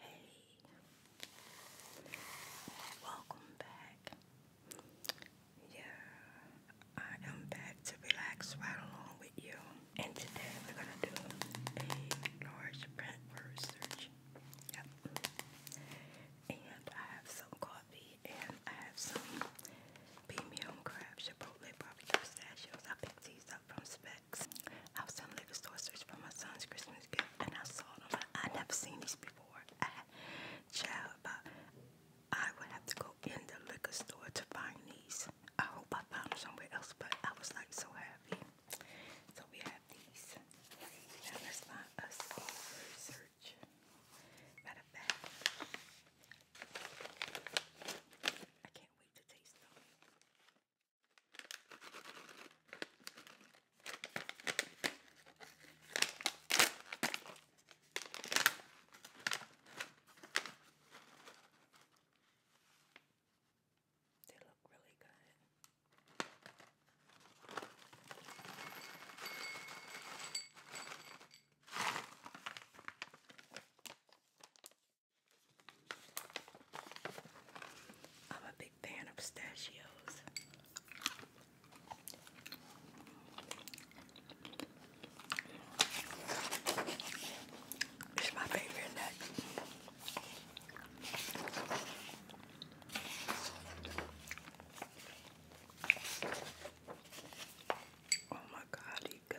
Hey, welcome back. Yeah, I am back to relax right along with you. And today we're gonna do a large print word search. Yep. And I have some coffee and I have some premium crab chipotle barbecue pistachios. I picked these up from Spaz. I was in liquor store searching for my son's Christmas gift, and I saw them. I never seen these before. child, about, I would have to go in the liquor store to find these. I hope I found them somewhere else, but I was like so happy. So we have these. Now let's find research. I can't wait to taste them. They look really good. I'm a big fan of pistachios. It's my favorite nut. Oh my God, he good.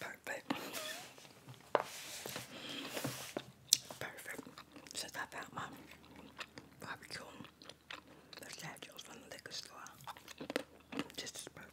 Perfect. Perfect. Since I my barbecue, the statues from the liquor store. Just perfect.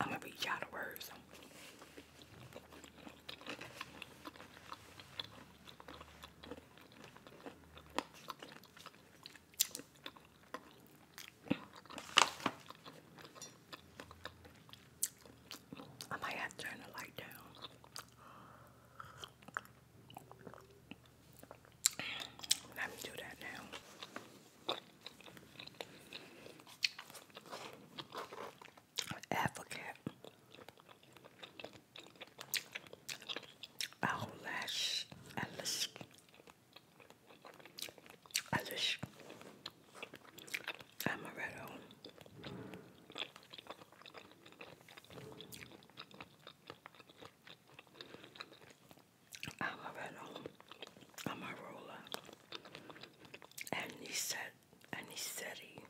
I'm gonna read y'all the words. I might have to turn the light down. Let me do that now. Advocate Eyelash Alice Alice Amaretto I'm a riddle. I'm a ruler. Any set, any city,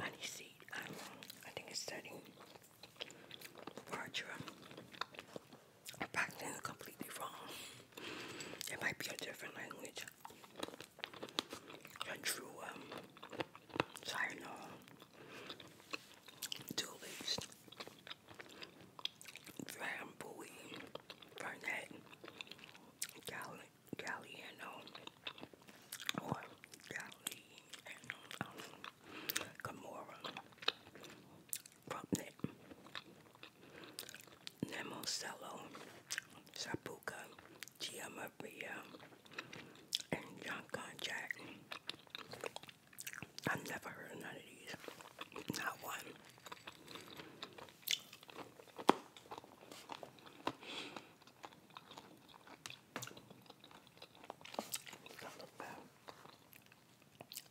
any seat. I don't know. I think it's setting. Vartra. I'm practicing completely wrong. It might be a different language. A true um, so I know Dooley's, Dram Bowie, Burnett, Galliano, or Galliano, um, Gamora, Rumpnet, Nemocello, Sapuka, Gia and John Jack. I've never heard of none of these. Not one.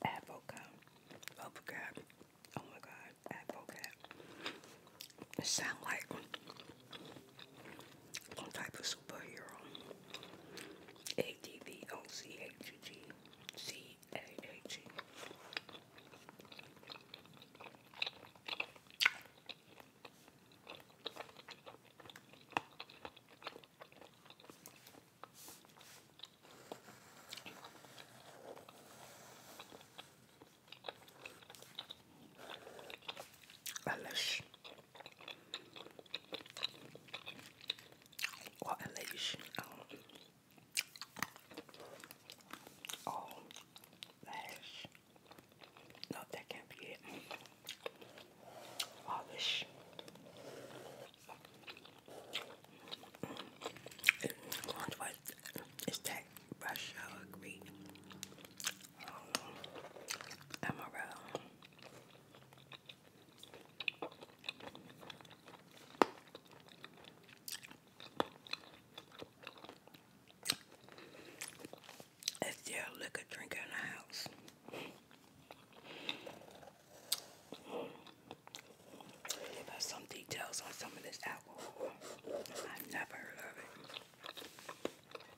Advocate. Advocate. Oh my god, advocate. It sound like type of superhero. A D V O C H G C A H E. Unless what elation. Um, oh, oh lash. No, that can't be it. Polish. Oh, it's that brush, I agree. Um, emerald. It's their liquor drinker in the house. some details on some of this alcohol. I've never heard of it.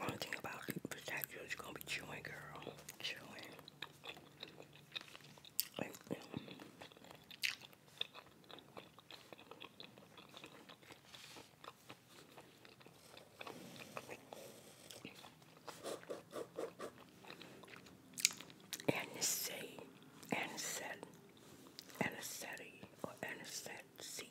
One thing about pistachios, you gonna be chewing, girl. Chewing. Like, um, Anisette, anisette, anisette, or anisette seed.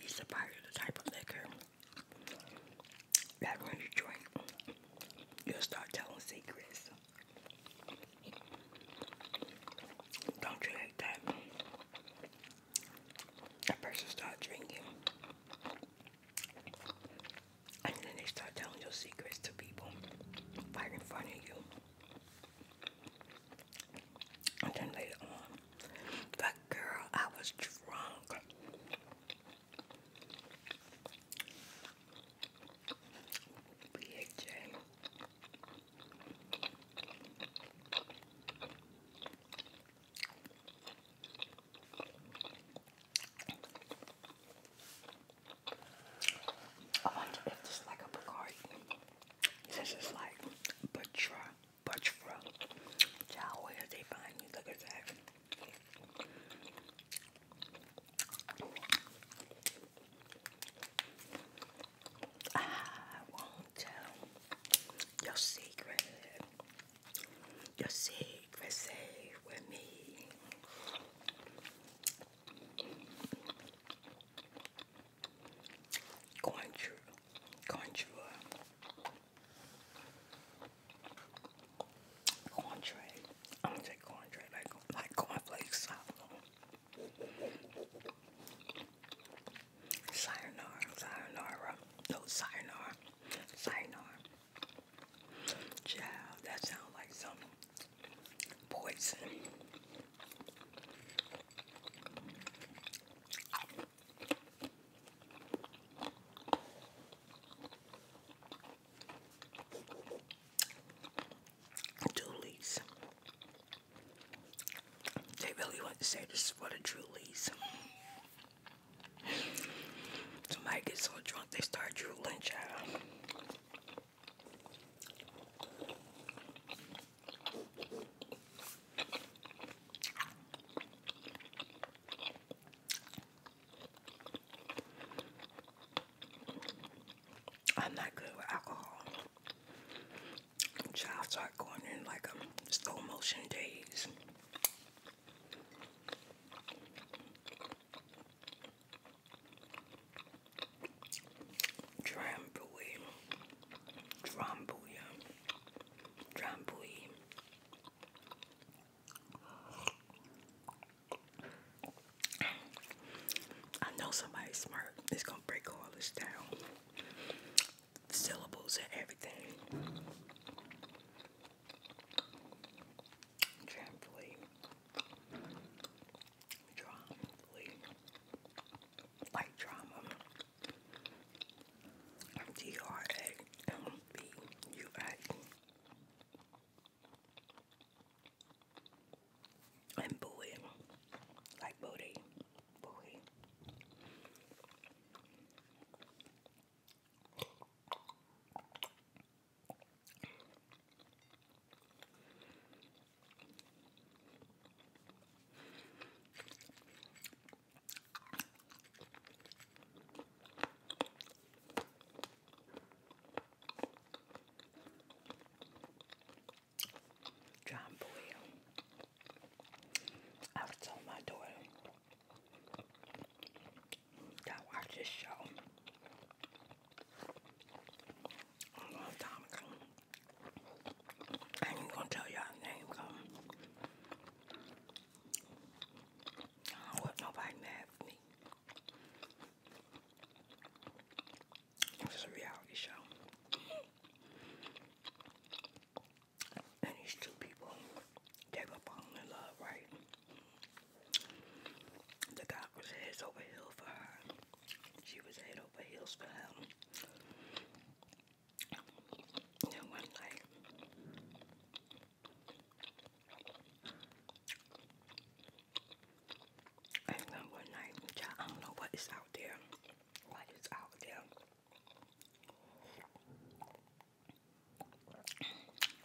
These the type of liquor that when you drink, you'll start telling secrets. Don't you hate that? A person start drinking, and then they start telling your secrets to people right in front of you. And then later on, but girl, I was drunk. BHJ. I wonder if this like a Bacardi. This is like Batra Butch from Chow, they find me. Look at that. I won't tell your secret. Your secret safe with me going through, going through a uh, contract. I'm gonna take contract like like cornflakes. Sayonara, sayonara, no sayonara, sayonara. Child, that sounds like some poison. Julie's. They really want to say this is for the Julie's. Somebody gets so drunk they start drooling, child. I'm not good with alcohol. Child going in like um, slow motion days. Dram Drambuya. Drambuie. I know somebody smart is gonna break all this down. Syllables and everything. Trampoline. Drum. Like drama. D R A M B U I and buoy, like booty, buoy. John Boyle. I was told my daughter that I this show a long time ago. I ain't gonna tell y'all name, um, I don't want nobody mad me. It's a reality show. And these two people, they were falling in love, right? The guy was heads over heels for her. She was head over heels for him. That one like and then one night, child, I don't know what is out there. What is out there?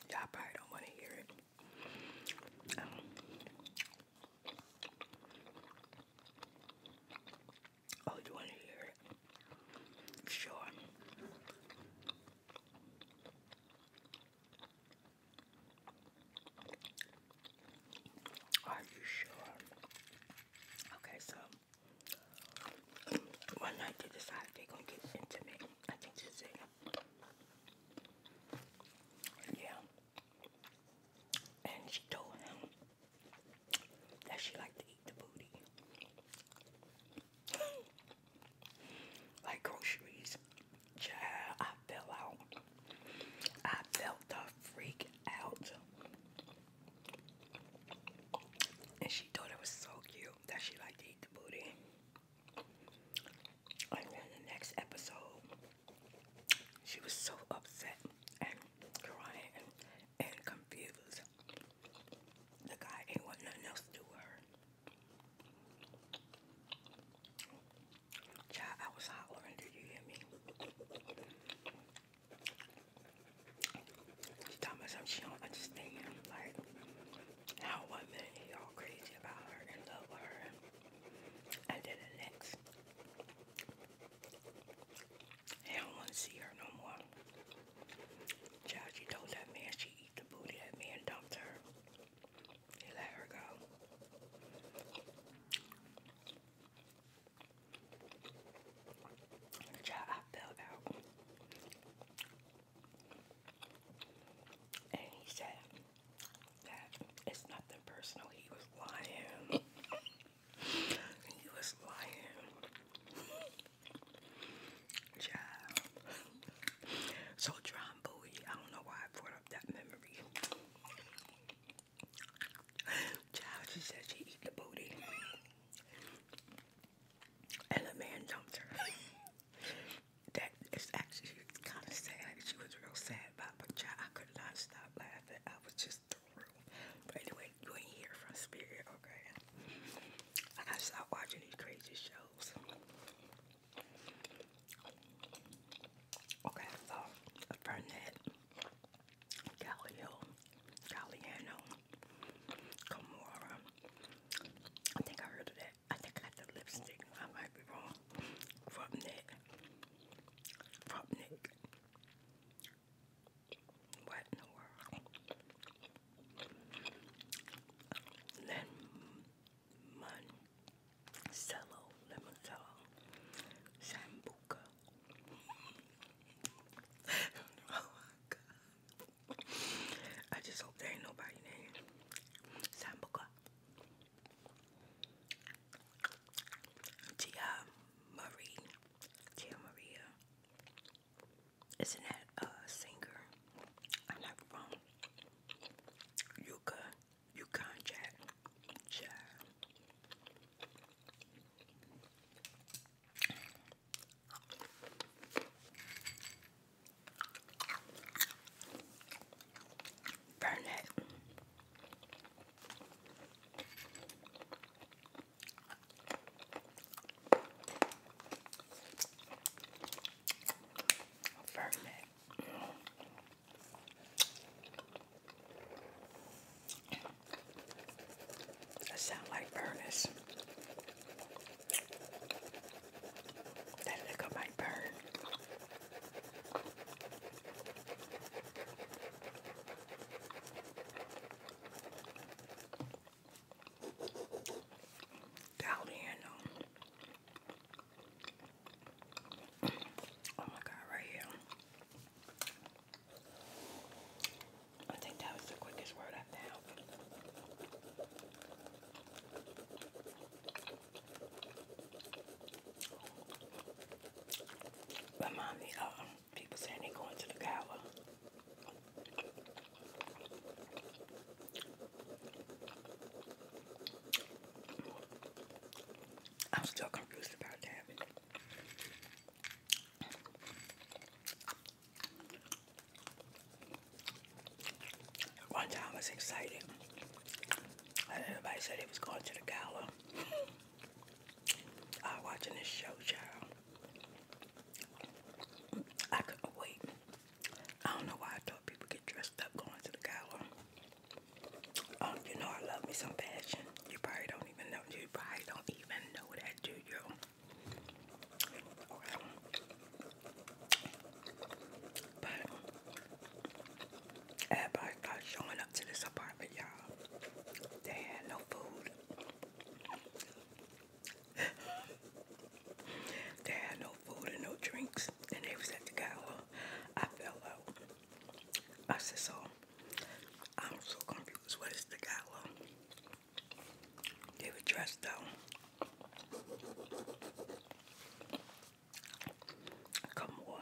Y'all probably don't want to hear it. Um, Oh, you want to hear Sure. Are you sure? Okay, so one night they decide they're gonna get intimate. I think this is Yeah. And she told him that she liked to eat the booty. like groceries. Child, I fell out. I felt the freak out. And she thought it was so cute that she liked to eat the booty. And then the next episode, she was so upset and crying and confused. The guy ain't want nothing else to her. Child, I was hollering, did you hear me? She talking about something she don't understand, like how one minute y'all crazy about her and love her, and then the next I don't want to see her no more. Child, she told that man she eat the booty. That man dumped her. He let her go. Child, I fell out. And he said that it's nothing personal. He was lying. He was lying. Child. So John Bowie, I don't know why I brought up that memory. Child, she said she eat the booty. And the man dumped her. that is actually kind of sad. She was real sad about but child, I could not stop laughing. I was just but anyway, you ain't here from spirit, okay? I gotta stop watching these crazy shows. Okay, so Burnett, Galileo, Galliano, Gamora. I think I heard of that. I think I got the lipstick. I might be wrong. Rubnik. Rubnik. What in the world? Lemon cello, lemon cello, sambuca. oh my god. I just hope there ain't nobody named Sambuca. Tia Marie. Tia Maria. Isn't that a singer? I'm not wrong. Yuka. Yukon Jack. Child. Burn Ferment. That sound like furnace. That liquor might burn. Down here, no. Oh my God, right here. I think that was the quickest word I found. Remind me of uh, People saying they going to the gala. I'm still confused about that. One time was excited. Everybody said he was going to the gala. I am watching this show, child. I couldn't wait. I don't know why I thought people get dressed up going to the gala. Um, you know I love me some fashion. You probably don't even know. You probably don't even know that, do you? But everybody started showing up to this apartment, y'all. They had no food they had no food and no drinks, and they was at the gala. I fell out. I said, so I'm so confused. What is the gala? They were dressed down. Come on.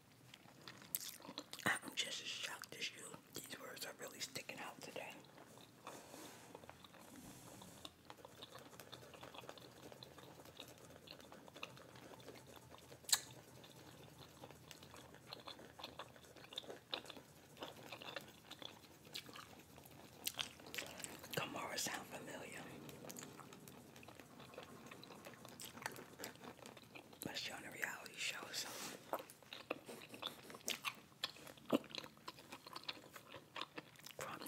I'm just as shocked as you. These words are really sticking out today. Kamara sound familiar. But she on a reality show, so Crumb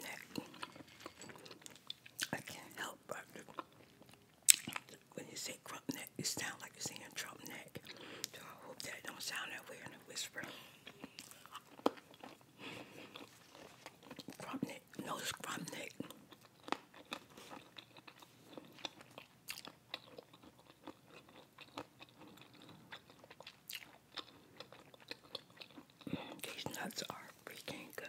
I can't help but when you say crump it sounds like you're saying Trump So I hope that don't sound that way in a whisper. Crump No, it's these nuts are freaking good.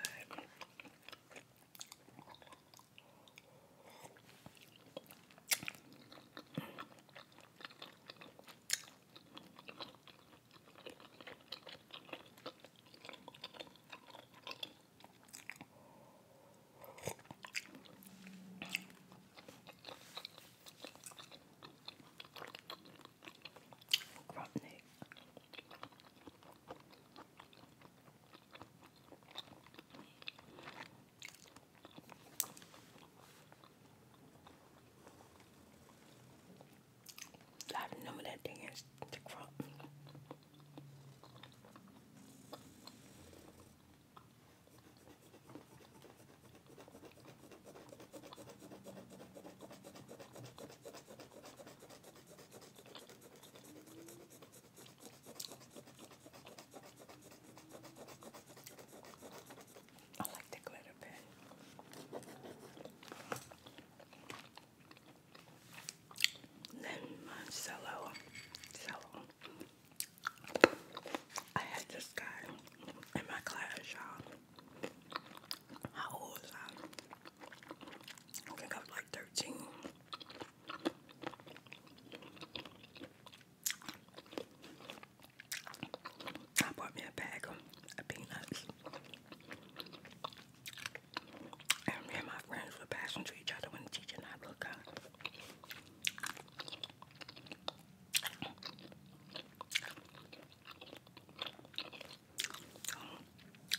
Grubnik. I remember that thing is the crop. I like the glitter pen. Then my uh, cello, I had this guy in my class, y'all. How old was I? I think I was like 13. I bought me a bag of peanuts. And me and my friends were passing to each other when the I looked up.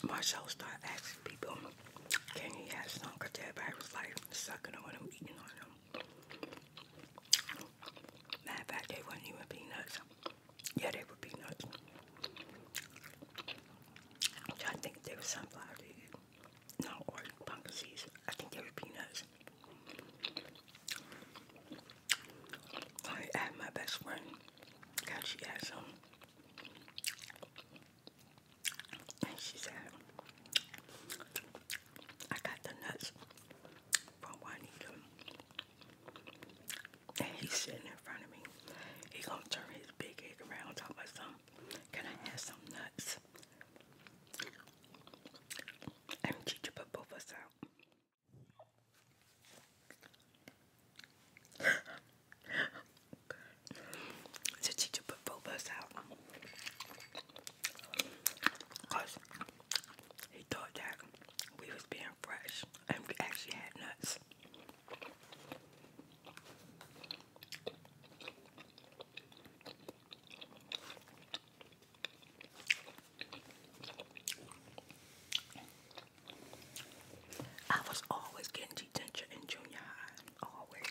Marcel started asking people, can you have some? Because everybody was like sucking on them, eating on them. Matter of fact, they wouldn't even peanuts. Yeah, they were peanuts. trying to think they were sunflower seeds. No, or pumpkin seeds. I think they were peanuts. I had my best friend. God, she had some. she said, I got the nuts from Juanita. And he's sitting in front of me. He gonna turn his big head around talking about some can I have some nuts? I'm going to put both us out. So teacher put both us out. Cause he thought that we was being fresh and we actually had nuts. I was always getting detention in junior high, always.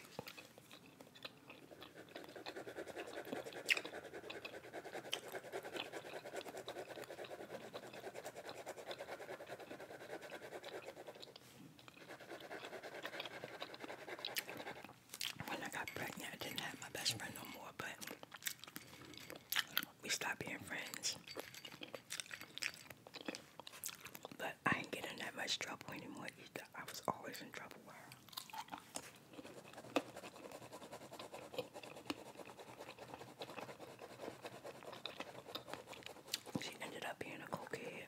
When I got pregnant, I didn't have my best friend no more, but we stopped being friends. But I ain't getting that much trouble anymore either. I was always in trouble She ended up being a cokehead.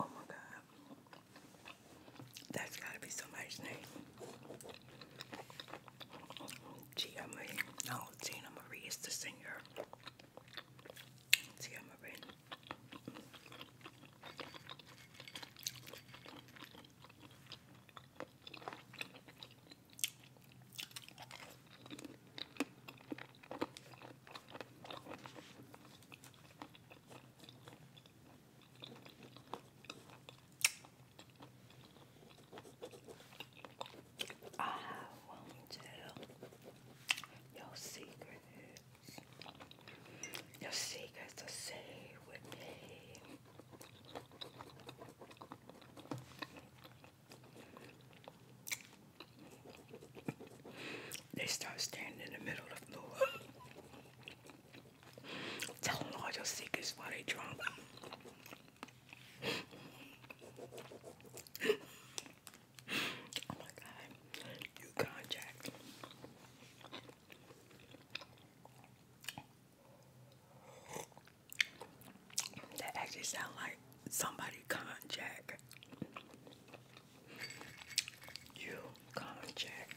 Oh my god. That's gotta be somebody's name. Gia Marie. No, Tina Marie is the singer. Gia I won't tell your secrets. Your secrets are safe with me. They start standing in the middle of the floor, telling all your secrets while they drunk. oh my God, you contact. That actually sound like somebody conjack. You come and check.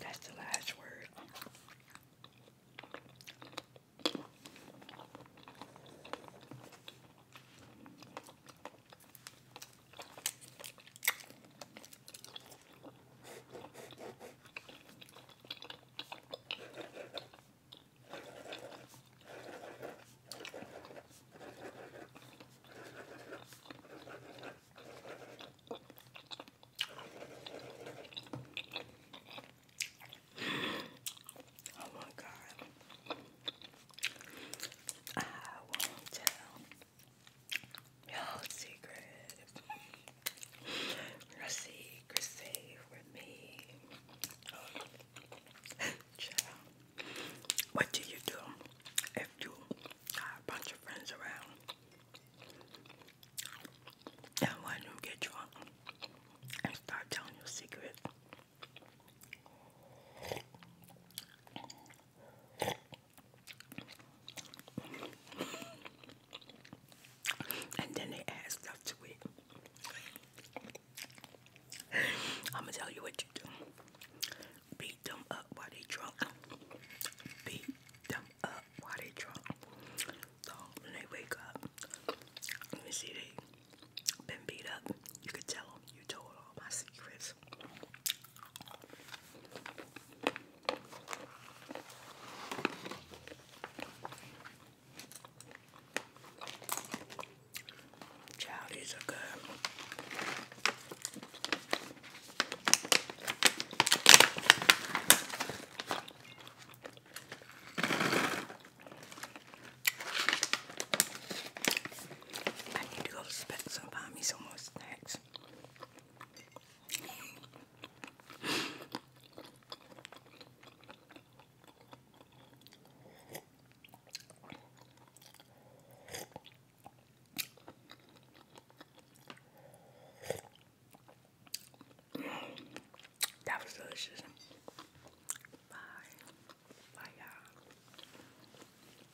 That's the last word. Oh my God. I won't tell. Your secret. Your secret safe with me. what do you do if you got a bunch of friends around? And one who get drunk and start telling your secret and then they add stuff to it. I'm gonna tell you what you do. Beat them up while they drunk. Beat them up while they drunk. So when they wake up, let me see they been beat up. You could tell them you told all my secrets guys. Child, these I need to go to Specs and find some more snacks. That was delicious. Bye. Bye, y'all.